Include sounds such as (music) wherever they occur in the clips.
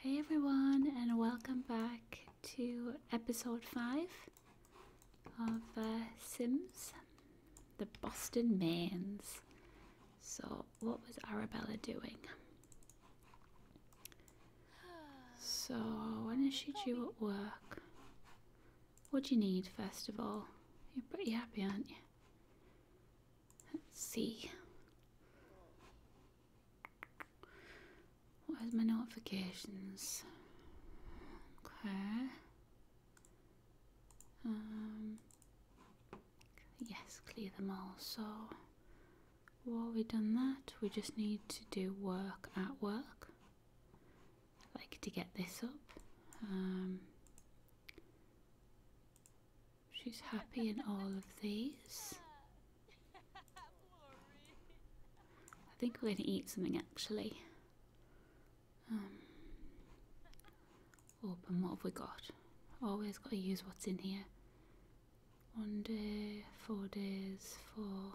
Hey everyone, and welcome back to episode 5 of uh, Sims, the Boston Mains. So, what was Arabella doing? So, when is she due at work? What do you need, first of all? You're pretty happy, aren't you? Let's see. Where's my notifications? Okay. Um, yes, clear them all. So, while we have done that, we just need to do work at work. I'd like to get this up. Um, She's happy in all of these. I think we're going to eat something actually. Um, open, oh, what have we got? Always got to use what's in here. One day, four days, four,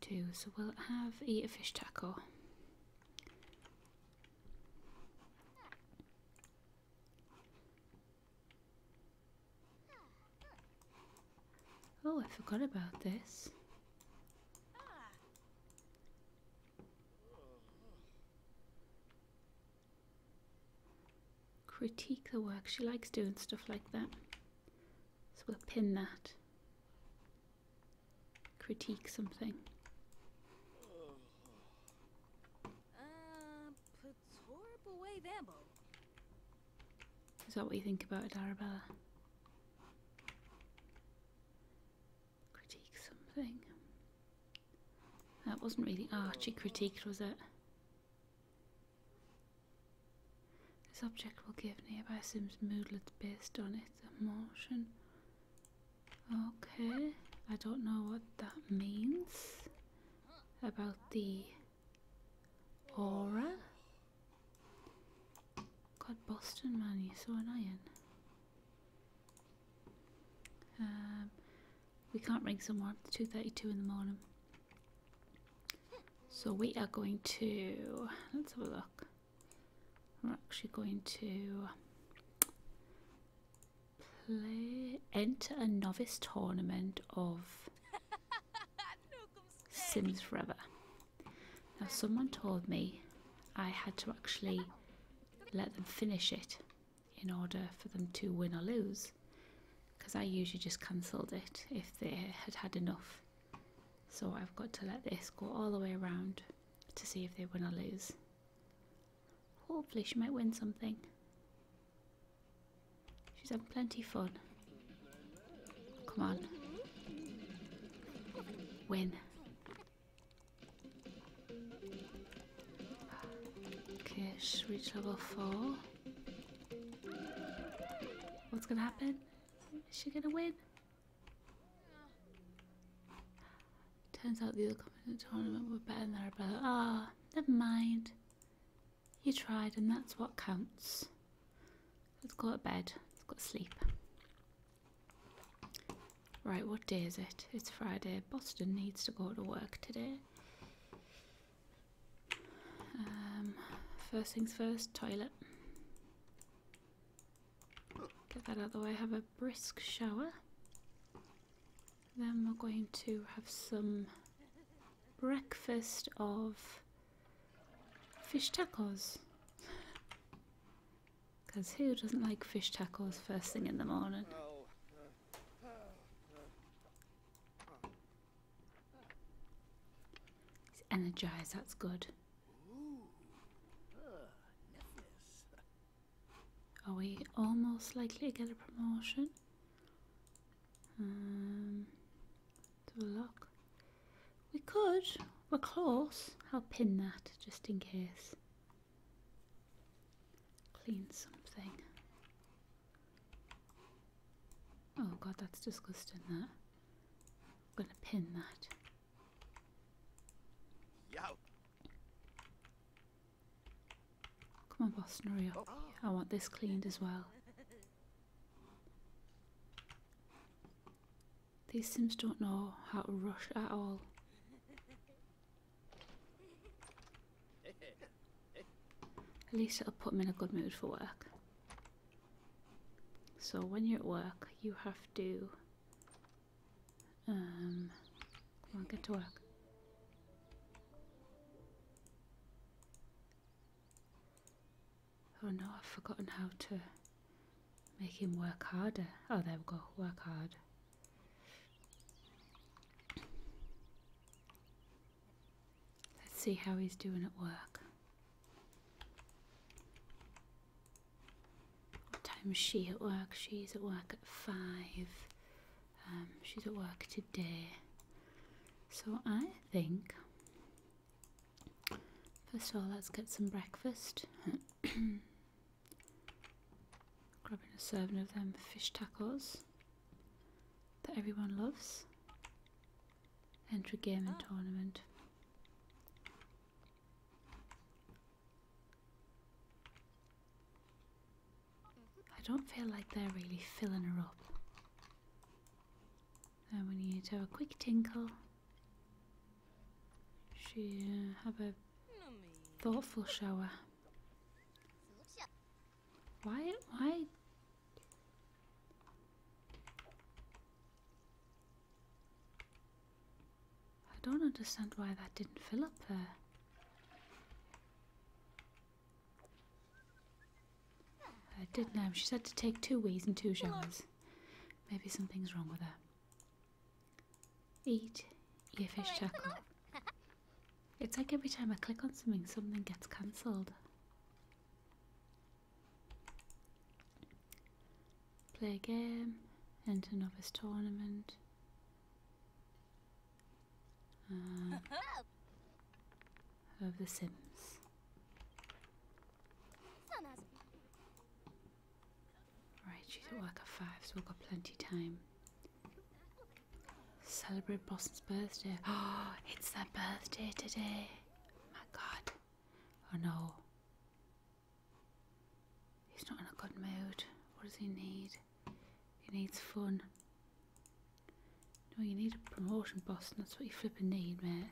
two. So we'll have eat a fish taco. Oh, I forgot about this. Critique the work. She likes doing stuff like that. So we'll pin that. Critique something. Uh, is that what you think about it, Arabella? Critique something. That wasn't really Archie critiqued, was it? This object will give nearby Sims moodlets based on its emotion. Okay, I don't know what that means about the Aura? God, Boston man, you're so annoying. Um, we can't ring someone. at 2.32 in the morning. So we are going to, let's have a look. We're actually going to play, enter a novice tournament of (laughs) Sims Forever. Now, someone told me I had to actually let them finish it in order for them to win or lose because I usually just cancelled it if they had had enough. So I've got to let this go all the way around to see if they win or lose. Hopefully, she might win something. She's had plenty of fun. Come on. Win. Okay, she's reached level 4. What's gonna happen? Is she gonna win? Turns out the other competitors in the tournament were better than her brother. Ah, never mind. You tried, and that's what counts. Let's go to bed. Let's go to sleep. Right, what day is it? It's Friday. Boston needs to go to work today. Um, first things first, toilet. Get that out of the way. Have a brisk shower. Then we're going to have some breakfast of fish tacos. Because (laughs) who doesn't like fish tacos first thing in the morning? energized, that's good. Are we almost likely to get a promotion? Um, to a lock. We could. We're close. I'll pin that just in case. Clean something. Oh god, that's disgusting. That. I'm gonna pin that. Yo. Come on, boss, hurry oh. I want this cleaned as well. These sims don't know how to rush at all. At least it'll put them in a good mood for work. So when you're at work, you have to um, get to work. Oh no, I've forgotten how to make him work harder. Oh, there we go, work hard. Let's see how he's doing at work. What time is she at work? She's at work at five. Um, she's at work Day, So I think, first of all, let's get some breakfast. (coughs) Grabbing a serving of them fish tacos that everyone loves. Enter gaming oh. Ah. tournament. I don't feel like they're really filling her up. Then we need to have a quick tinkle. She uh, have a thoughtful shower. Why? Why? I don't understand why that didn't fill up her. I did know. She said to take two wees and two showers. Maybe something's wrong with her. Eat your fish tackle. It's like every time I click on something, something gets cancelled. Play a game, enter novice tournament. Uh, of The Sims. Right, she's at work at five, so we've got plenty time. Celebrate Boston's birthday. Oh, (gasps) it's their birthday today. My God. Oh no. He's not in a good mood. What does he need? He needs fun. No, you need a promotion, boss, that's what you flipping need, mate.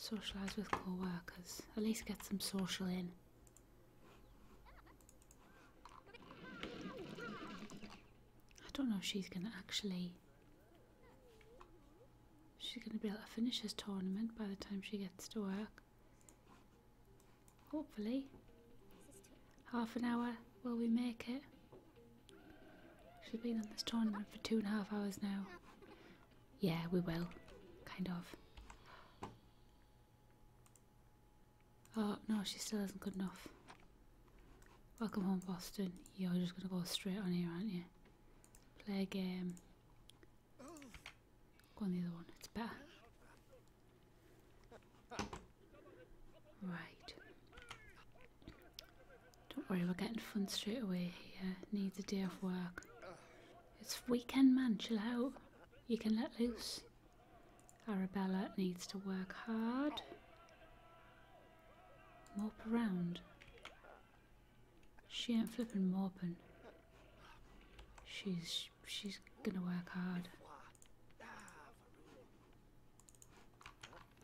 Socialise with co-workers. At least get some social in. I don't know if she's going to actually... She's going to be able to finish this tournament by the time she gets to work. Hopefully. Half an hour, will we make it? She's been on this tournament for two and a half hours now. Yeah, we will. Kind of. Oh, no, she still isn't good enough. Welcome home, Boston. You're just going to go straight on here, aren't you? Play a game. Go on the other one, it's better. Right. Don't worry, we're getting fun straight away here. Needs a day off work. It's weekend, man. Chill out. You can let loose. Arabella needs to work hard. Mop around. She ain't flipping moping. She's she's gonna work hard.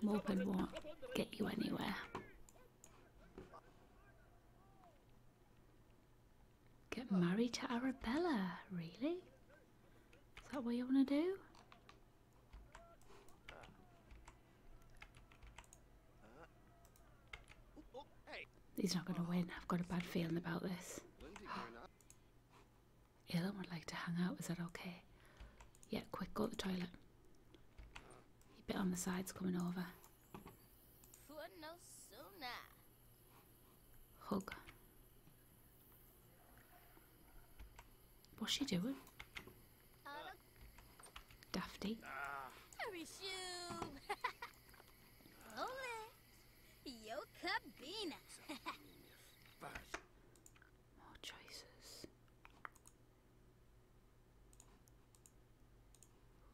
Morpin won't get you anywhere. Get married to Arabella, really? Is that what you want to do? He's not going to win. I've got a bad feeling about this. Alan would like to hang out, is that okay? Yeah, quick, go to the toilet. bit on the sides coming over. no sooner. Hug. What's she doing? Uh, Dafty. (laughs) (laughs) (laughs) More choices.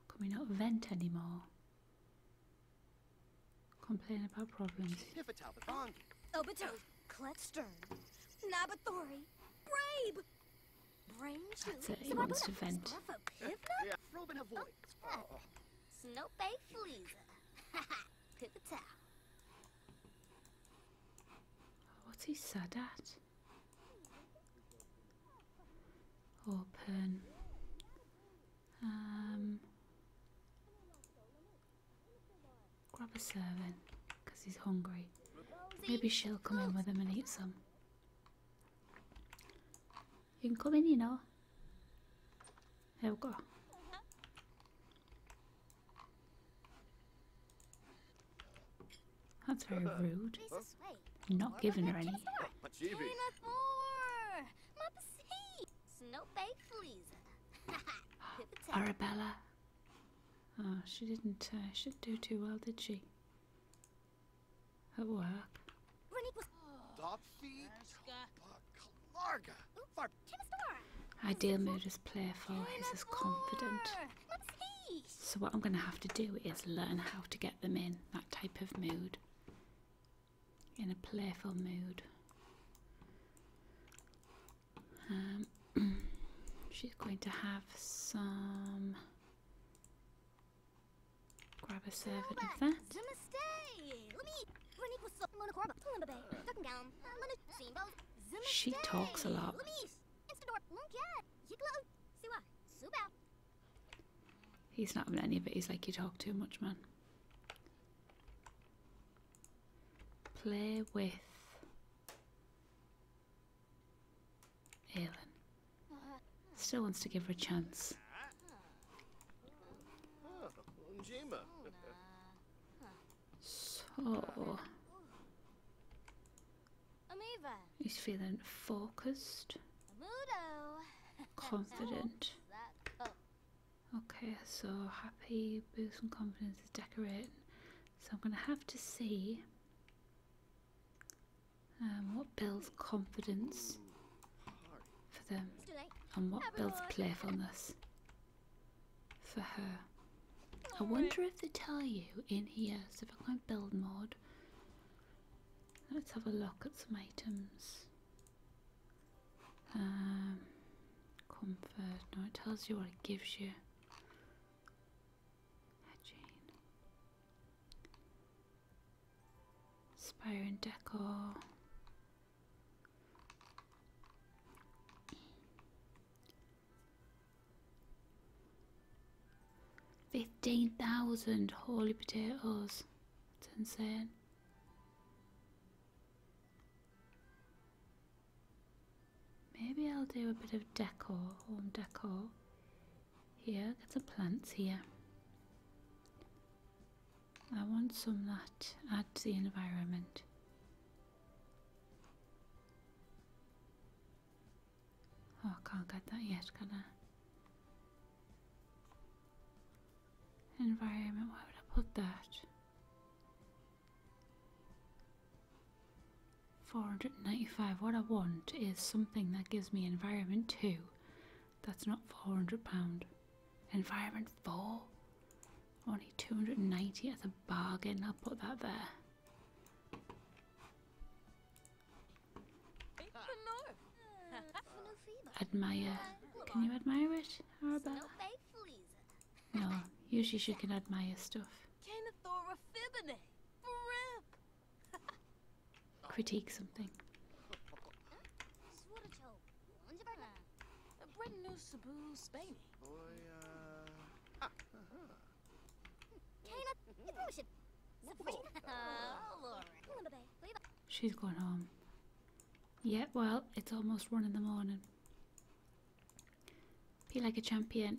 Can we not vent anymore? Complain about problems. Obito, Clet Stern, Nabathori, Brabe! Brainshell, That's it, he wants to vent. (laughs) What's he sad at? Open. Um, grab a servant because he's hungry. Maybe she'll come in with him and eat some. You can come in, you know. There we go. That's very uh-huh. rude. Not giving her any. (laughs) Arabella. Oh, she didn't. Uh, she didn't do too well, did she? At work. Ideal mood is playful, his is confident. So what I'm going to have to do is learn how to get them in that type of mood. In a playful mood. Um, (clears throat) she's going to have some... Grab a servant of that. She talks a lot. He's not having any of it. He's like, you talk too much, man. Play with Aelin. Still wants to give her a chance. Ah, (laughs) So he's feeling focused, confident. Okay, so happy, boost boosting confidence, is decorating. So I'm going to have to see um, what builds confidence for them and what builds playfulness for her. I wonder if they tell you in here. So if I go build mode, let's have a look at some items. Um, comfort. No, it tells you what it gives you. Hygiene. Spire and decor. Fifteen thousand holy potatoes. It's insane. Maybe I'll do a bit of decor, home decor. Here, get some plants here. I want some that add to the environment. Hakan kadar yaş kadar. Environment, why would I put that? 495, what I want is something that gives me environment 2. That's not 400 pound. Environment 4? Only 290 as a bargain. I'll put that there. (laughs) Admire. Can you admire it, Arabella? No, usually she can admire stuff. (laughs) Critique something. She's going home. Yeah, well, it's almost one in the morning. Be like a champion.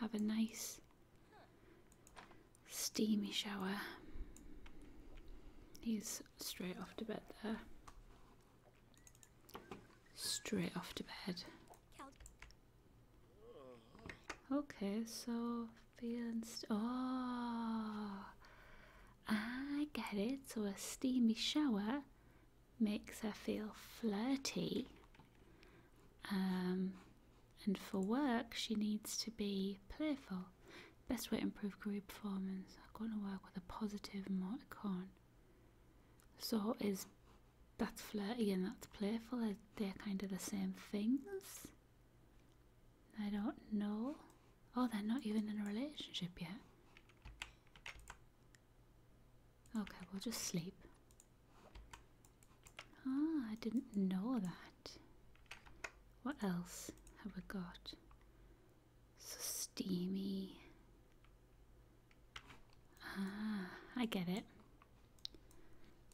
Have a nice steamy shower. He's straight off to bed there. Straight off to bed. Okay, so fiancé. Oh, I get it. So a steamy shower makes her feel flirty. Um, and for work, she needs to be playful. Best way to improve career performance. I'm going to work with a positive emoticon. So is that flirty and that playful. They're kind of the same things. I don't know. Oh, they're not even in a relationship yet. Okay, we'll just sleep. Ah, I didn't know that. What else have we got? So steamy. Ah, I get it.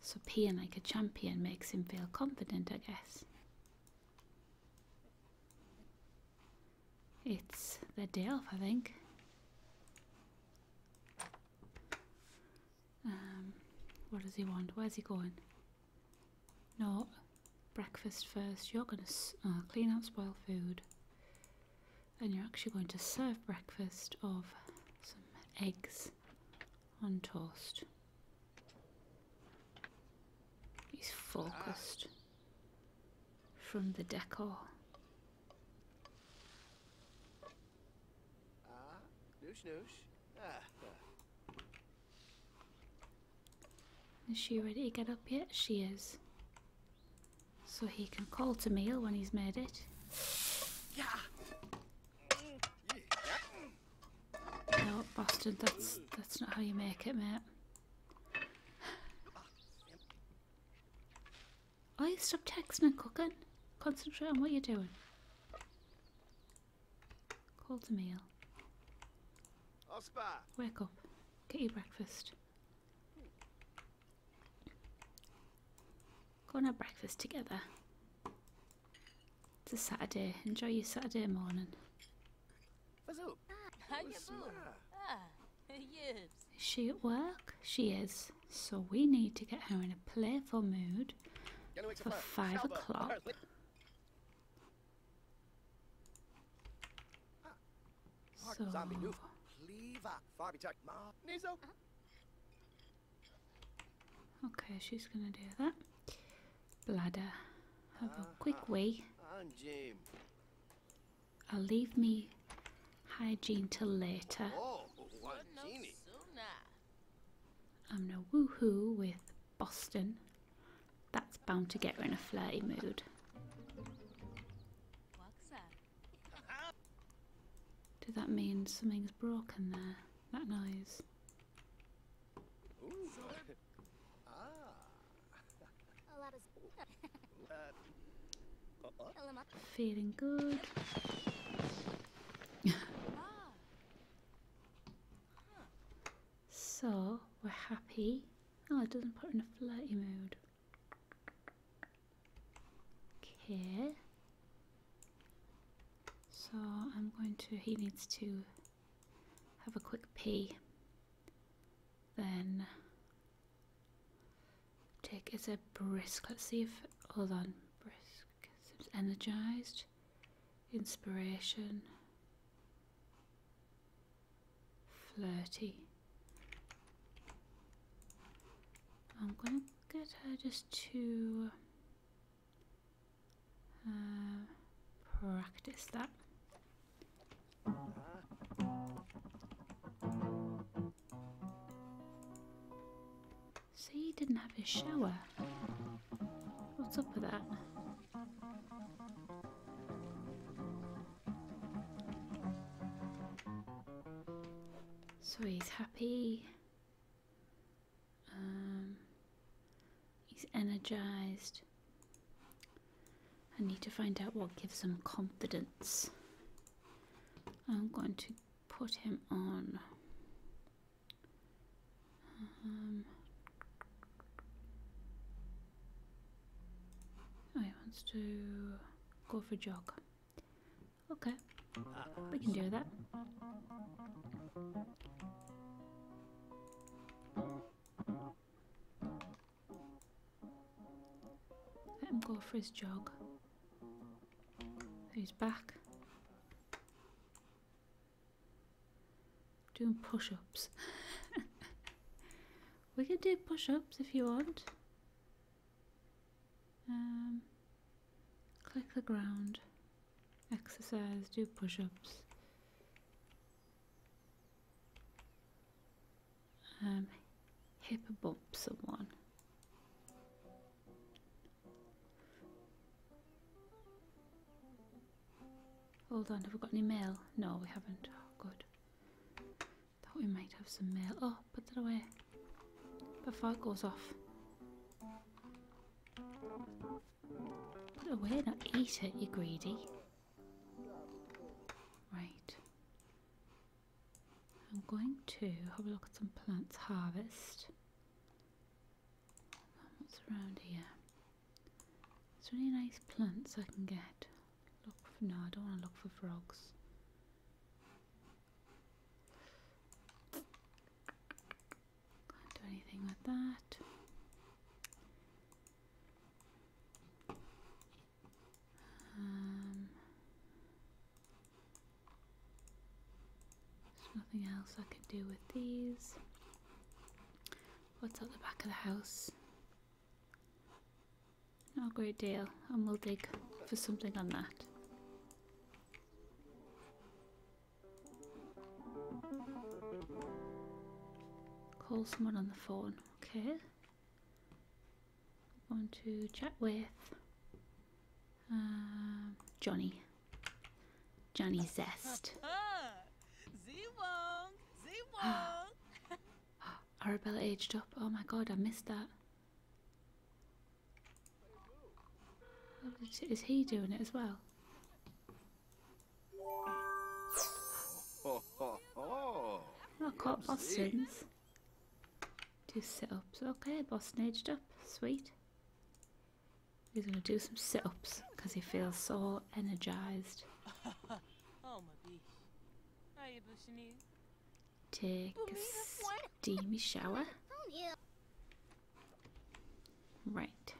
So peeing like a champion makes him feel confident, I guess. It's the day I think. Um, what does he want? Where's he going? No, breakfast first. You're gonna uh, clean up spoiled food and you're actually going to serve breakfast of some eggs on toast. He's focused from the decor. Ah, is she ready to get up yet? She is. So he can call to meal when he's made it. Yeah. No, bastard, that's, that's not how you make it, mate. I you stop texting and cooking. Concentrate on what you're doing. Call to meal. Wake up. Get your breakfast. Go and have breakfast together. It's a Saturday. Enjoy your Saturday morning. Ah, (laughs) is she at work? She is. So we need to get her in a playful mood for five o'clock. So. Okay, she's gonna do that. Bladder, have a quick uh-huh. wee. I'll leave me hygiene till later. Oh, I'm no woohoo with Boston. That's bound to get her in a flirty mood. Did that mean something's broken there? That noise. Feeling good. (laughs) so we're happy. Oh, it doesn't put in a flirty mood. Okay. So I'm going to, he needs to have a quick pee. Then take, is a brisk, let's see if, hold on, brisk, seems energized, inspiration, flirty. I'm going i get her just to uh, practice that. So he didn't have his shower. What's up with that? So he's happy. Um, he's energized. I need to find out what gives him confidence. I'm going to put him on. Um, oh, he wants to go for a jog. Okay, we can do that. Let him go for his jog. He's back. Doing push-ups. (laughs) we can do push-ups if you want. Um, click the ground, exercise, do push ups. Um, hip bump someone. Hold on, have we got any mail? No, we haven't. Oh, good. Thought we might have some mail. Oh, put it away before it goes off. Put it away, not eat it, you greedy. Right. I'm going to have a look at some plants harvest. What's around here? Is there any nice plants I can get? Look for, no, I don't want to look for frogs. Can't do anything with that. Um, there's nothing else I can do with these. What's at the back of the house? Not a great deal, and we'll dig for something on that. Call someone on the phone. Okay. I'm to chat with um, Johnny. Johnny Zest. (laughs) (gasps) Arabella aged up. Oh my god, I missed that. Is he doing it as well? I oh, oh. Look Boston's. Do sit ups. Okay, Boston edged up. Sweet. He's gonna do some sit ups because he feels so energized. (laughs) Oh, Take a steamy shower. Right.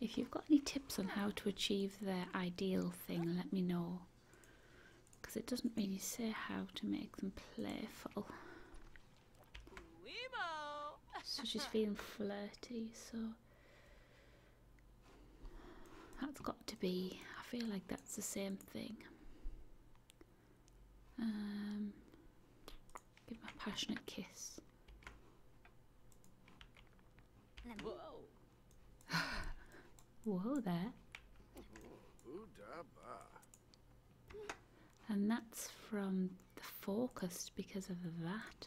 If you've got any tips on how to achieve the ideal thing, let me know. Because it doesn't really say how to make them playful. So she's feeling flirty, so that's got to be, I feel like that's the same thing. Um, give him a passionate kiss. Whoa! (sighs) Whoa there. And that's from the focused because of that.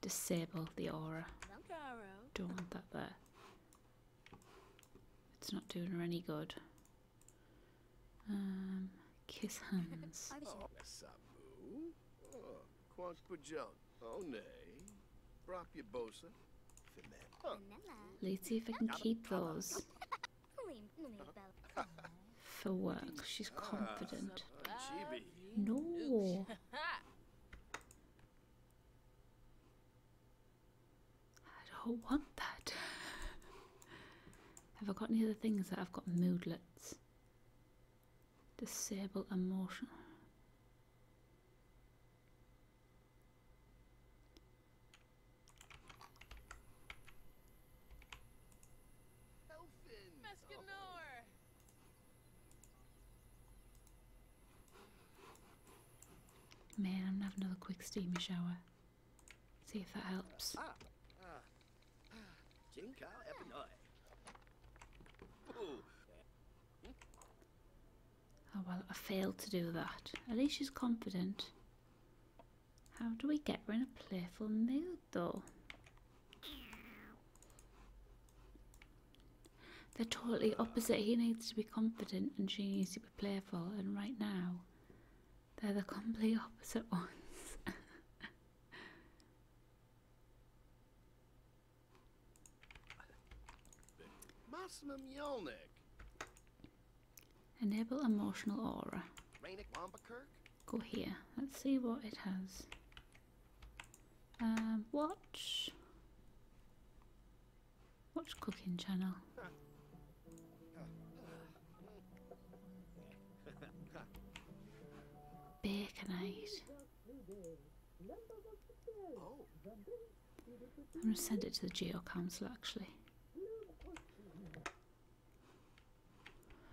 Disable the aura. Don't want that there. It's not doing her any good. Um, kiss hands. Oh, Sabu, oh, Quank oh, Let's see if I can keep those. (laughs) For work, she's ah, confident. No. (laughs) I don't want that. Have I got any other things that I've got moodlets? Disable emotion. Man, I'm going another quick steamy shower. See if that helps. Ah, ah, ah. Oh well, I failed to do that. At least she's confident. How do we get her in a playful mood though? They're totally opposite. He needs to be confident and she needs to be playful and right now they're the complete opposite ones. Enable emotional aura. Go here. Let's see what it has. Um, watch. Watch Cooking Channel. Baconite. I'm going to send it to the Geo Council actually.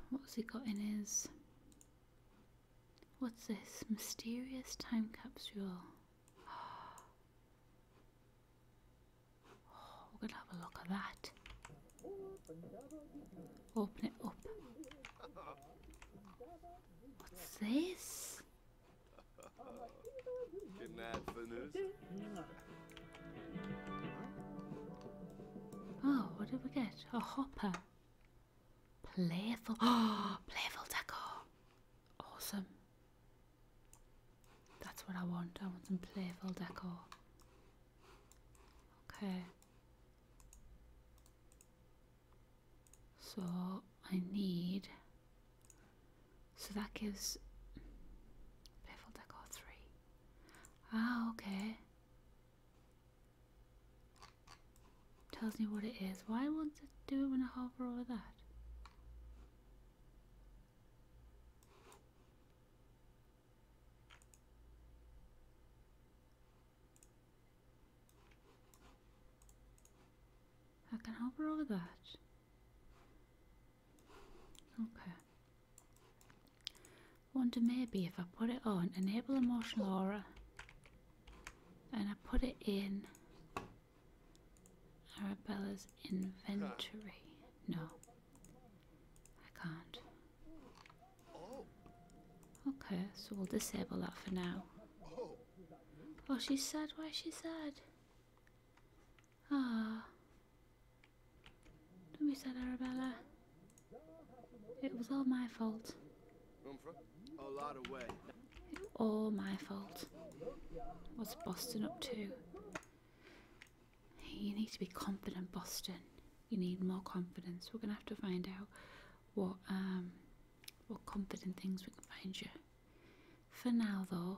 What's he got in his... What's this? Mysterious time capsule we're gonna have a look at that. Open it up. What's this? Oh, what did we get? A hopper. Playful. Oh, (gasps) playful decor. Awesome. That's what I want. I want some playful decor. Okay. So I need. So that gives. Playful decor 3. Ah, okay. Tells me what it is. Why won't it do it when I hover over that? I can help overrule the guards. Okay. Wonder maybe if I put it on, enable emotional aura, and I put it in Arabella's inventory. No. I can't. Okay, so we'll disable that for now. Oh, she's sad. Why is she sad? Ah. Don't be sad, Arabella. It was all my fault. It all my fault. What's Boston up to? You need to be confident, Boston. You need more confidence. We're gonna have to find out what um, what confident things we can find you. For now, though,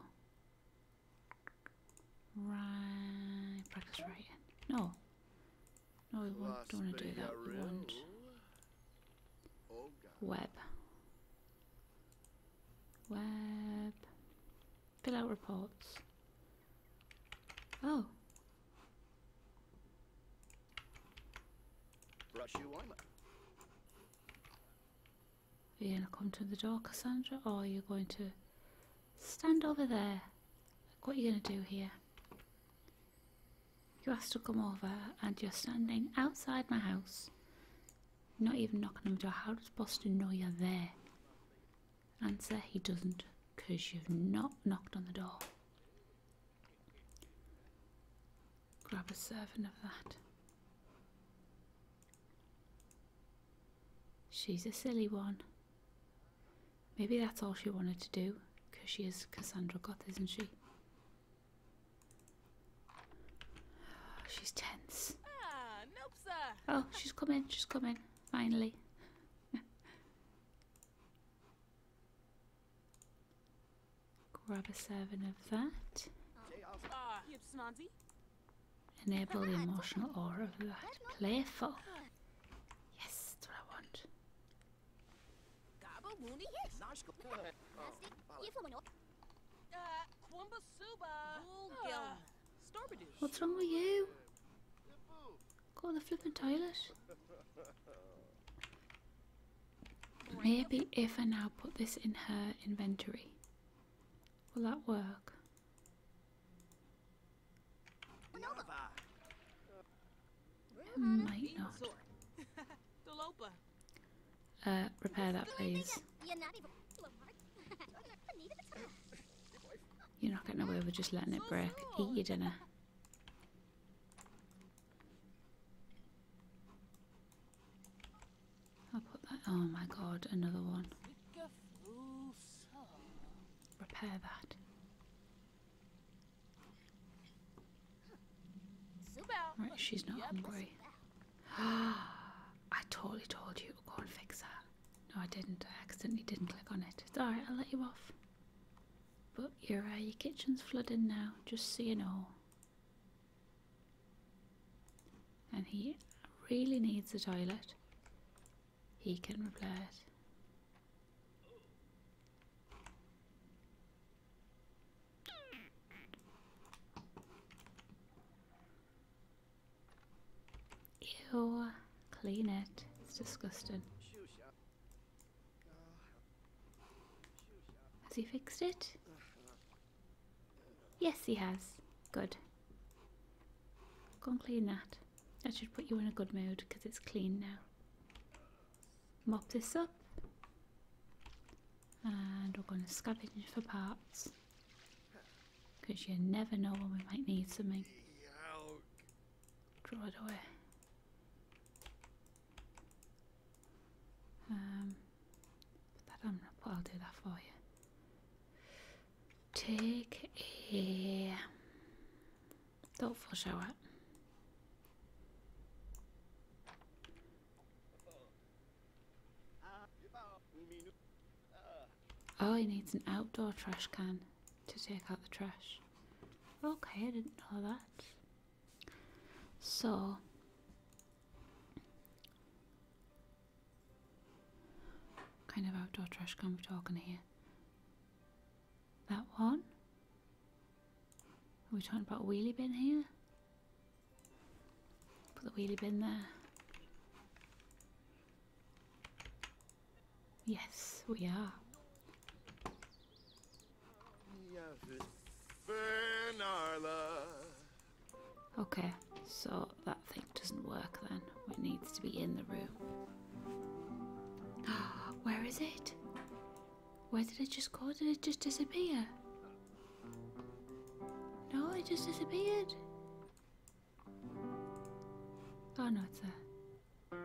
right, practice writing. No, no, we won't, don't want to do that. We want web, web, Fill out reports. Oh. Brush you on. Are gonna come to the door, Cassandra, or you are going to stand over there? what are you gonna do here? You have to come over, and you're standing outside my house not even knocking on the door. How does Boston know you're there? Answer, he doesn't, because you've not knocked on the door. Grab a serving of that. She's a silly one. Maybe that's all she wanted to do, because she is Cassandra Goth, isn't she? (sighs) She's tense. Ah, Oh, she's coming. She's coming. Finally. Grab a serving of that. Ah, Enable the emotional aura of that. Playful. Yes, what I want. Uh, What's wrong with you? Go to the flipping toilet. Maybe if I now put this in her inventory. Will that work? might not. (laughs) Uh, repair that please. You're not getting away with just letting it break. Eat your dinner. I'll put that. Oh my god, another one. Repair that. Right, she's not hungry. (gasps) I totally told you to go and fix that. No, I didn't. I accidentally didn't click on it. It's alright, I'll let you off. But your, uh, your kitchen's flooding now, just so you know. And he really needs the toilet. He can reply it. Ew, clean it. It's disgusting. Has he fixed it? Yes, he has. Good. Go and clean that. That should put you in a good mood because it's clean now. Mop this up. And we're going to scavenge for parts. Because you never know when we might need something. Draw it away. Um, put I'll do that for you. Take a thoughtful shower. Oh, he needs an outdoor trash can to take out the trash. Okay, I didn't know that. So, kind of outdoor trash can we're talking here? That one? We Are we talking about wheelie bin here? Put the wheelie bin there. Yes, we are. Okay, so that thing doesn't work then. It needs to be in the room. (gasps) Where is it? Where did it just go? Did it just disappear? No, it just disappeared. Oh no, it's a.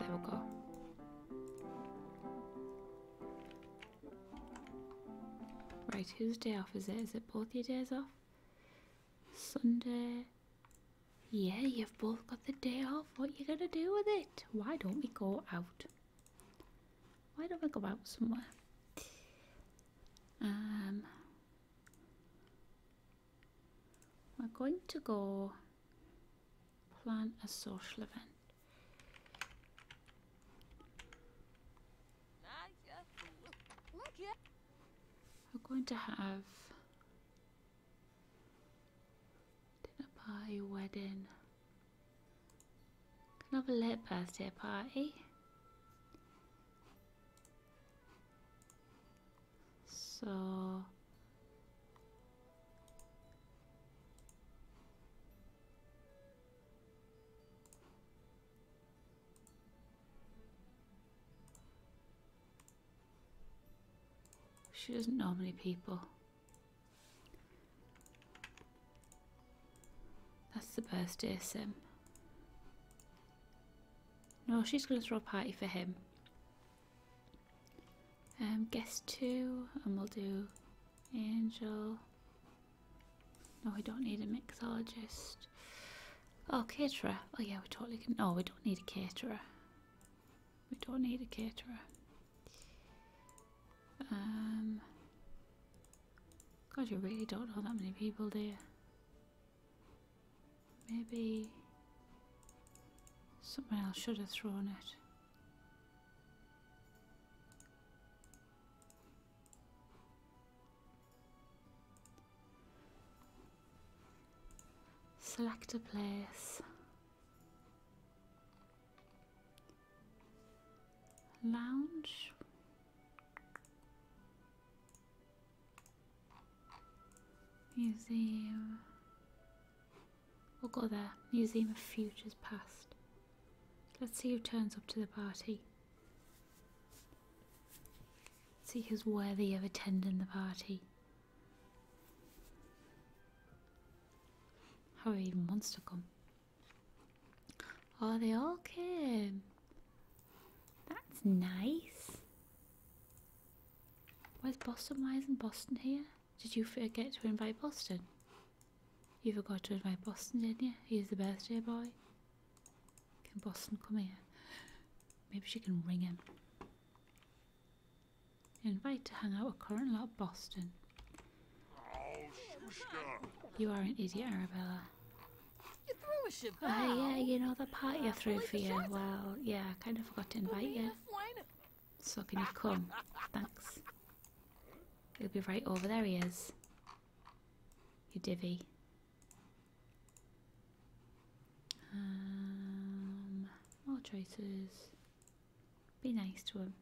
There we go. Right, whose day off is it? Is it both your days off? Sunday. Yeah, you've both got the day off. What are you going to do with it? Why don't we go out? Why don't we go out somewhere? Um, we're going to go plan a social event. We're going to have dinner party, wedding, kind of a late birthday party. So She doesn't know many people. That's the birthday sim. No, she's going to throw a party for him. Um, guest two, and we'll do angel. No, we don't need a mixologist. Oh, caterer. Oh, yeah, we totally can. Oh, we don't need a caterer. We don't need a caterer. Um, God, you really don't know that many people, do you? Maybe someone else should have thrown it. Select a place. Lounge. Museum. We'll go there. Museum of Futures Past. Let's see who turns up to the party. see who's worthy of attending the party. How are even wants to come. Oh, they all came. That's nice. Where's Boston? Why isn't Boston here? Did you forget to invite Boston? You forgot to invite Boston, didn't you? He's the birthday boy. Can Boston come here? Maybe she can ring him. Invite to hang out with current lot Boston. Oh, you are an easy Arabella. You threw a Chevelle. Oh, yeah, you know the part you threw for you. Well, yeah, I kind of forgot to invite you. So can you come? Thanks. He'll be right over there. He is. You divvy. Um, more choices. Be nice to him.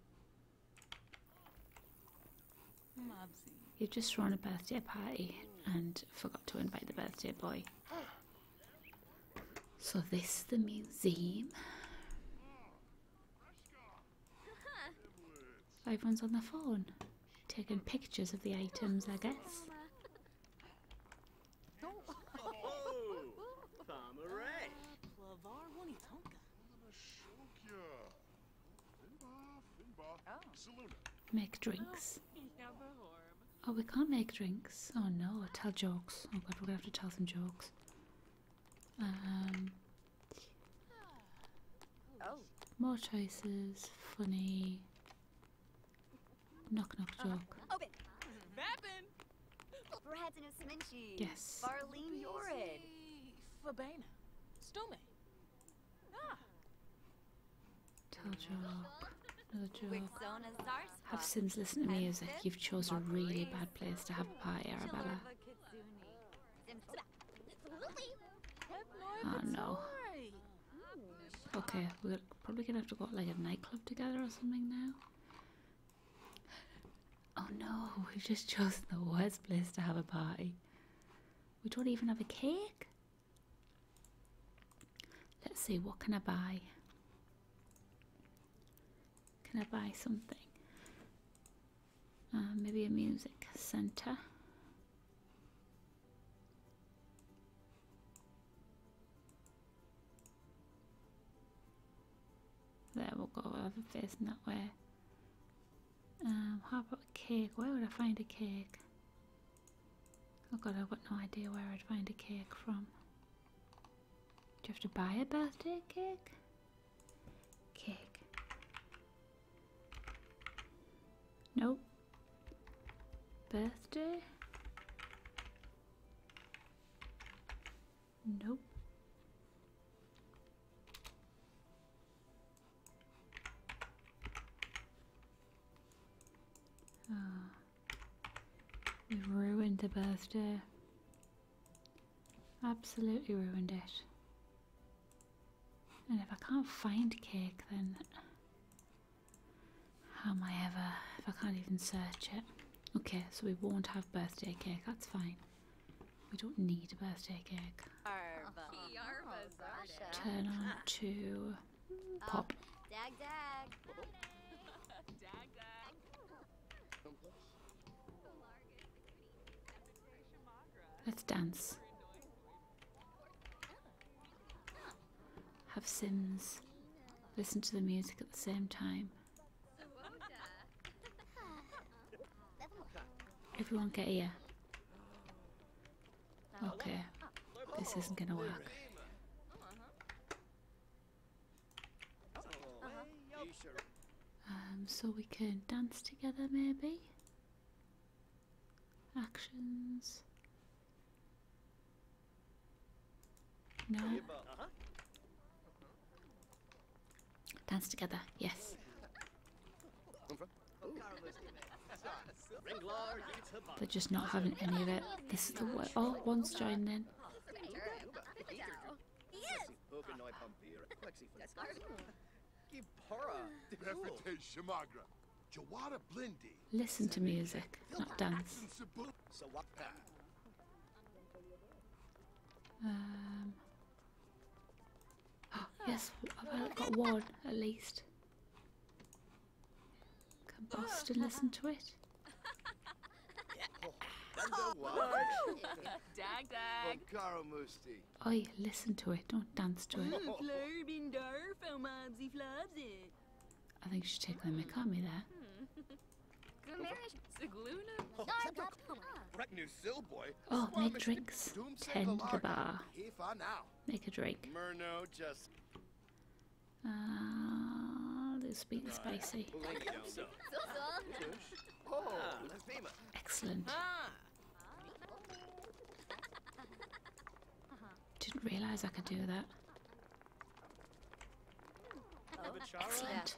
You've just thrown a birthday party and forgot to invite the birthday boy. So this the museum. Everyone's on the phone, taking pictures of the items, I guess. Oh. Make drinks. Oh, we can't make drinks. Oh no, tell jokes. Oh god, we're gonna have to tell some jokes. Um, more choices. Funny. Knock knock joke. Yes. Farlene Yorid. Fabena. Stome. Ah. Tell joke. Another joke. Have Sims listen to music. You've chosen a really bad place to have a party, Arabella. Oh no. Okay, we're probably gonna have to go to like a nightclub together or something now. Oh no, we've just chosen the worst place to have a party. We don't even have a cake. Let's see, what can I buy? Can I buy something? Uh, maybe a music centre. There, we'll go over facing that way. Um, how about a cake? Where would I find a cake? Oh god, I've got no idea where I'd find a cake from. Do you have to buy a birthday cake? Cake. Nope. Birthday? Nope. Oh. We've ruined the birthday. Absolutely ruined it. And if I can't find cake, then how am I ever, if I can't even search it? Okay, so we won't have birthday cake, that's fine. We don't need a birthday cake. Arba. Turn on to Oh, pop. Dag dag. dag dag. Let's dance. Have Sims. Listen to the music at the same time. Everyone get here. Okay, this isn't gonna work. Um, so we can dance together maybe? Actions. No. Dance together, yes. They're just not having any of it. This is the way. Oh, one's joining in. Listen to music, not dance. Um. Oh, (gasps) yes, I've got one at least. Come Can Boston listen to it? Oh, dag. listen to it, don't dance to it. Mm, I think she's taking the mick me there. Mm. Oh, make drinks. Tend the bar. Make a drink. Ah, this being spicy. Excellent. Didn't realise I could do that. Excellent.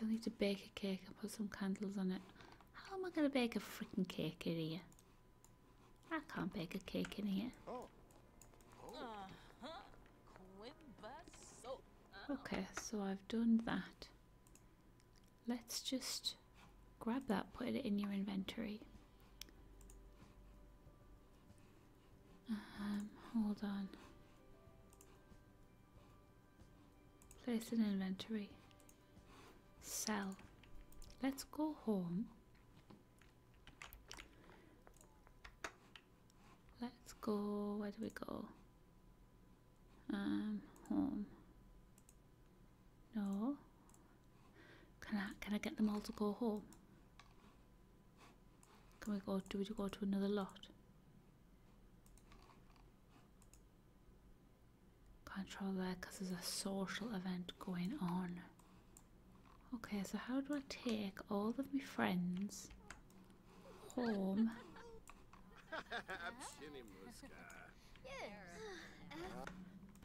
Don't need to bake a cake. I put some candles on it. How am I going to bake a freaking cake in here? I can't bake a cake in here. Okay, so I've done that. Let's just grab that, put it in your inventory. Um, hold on. Place an inventory. Sell. Let's go home. Let's go. Where do we go? Um, home. No. Can I can I get them all to go home? Can we go? Do we go to another lot? Control that because there's a social event going on. Okay, so how do I take all of my friends home?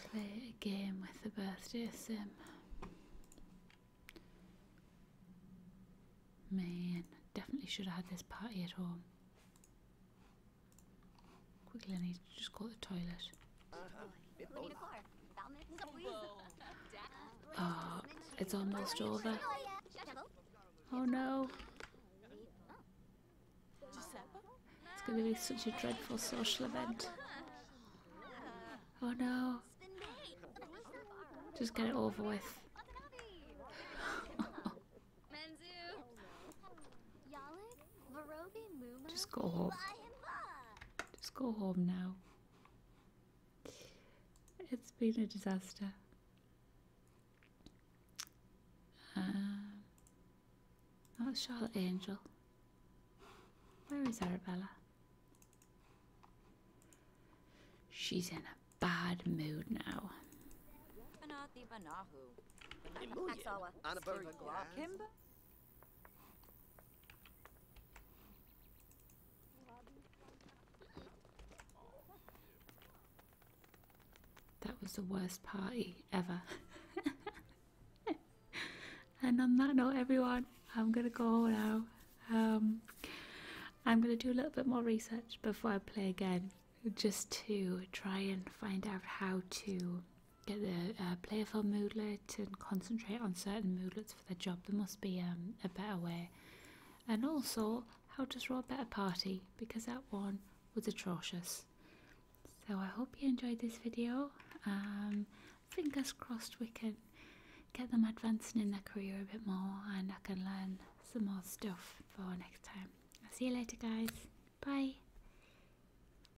Play a game with the birthday sim. Man, definitely should have had this party at home. Quickly, I just go to the toilet. Oh, it's almost over. Oh no. It's going to be such a dreadful social event. Oh no. Just get it over with. (laughs) (laughs) Just go home. Just go home now. It's been a disaster. Um, that's Charlotte Angel. Where is Arabella? She's in a bad mood now. That was the worst party ever. (laughs) and on that note, everyone, I'm gonna go now. Um, I'm gonna do a little bit more research before I play again, just to try and find out how to get the uh, player for moodlet and concentrate on certain moodlets for their job. There must be um, a better way. And also, how to throw a better party because that one was atrocious. So I hope you enjoyed this video. Um, fingers crossed we can get them advancing in their career a bit more and I can learn some more stuff for next time. I'll see you later guys. Bye.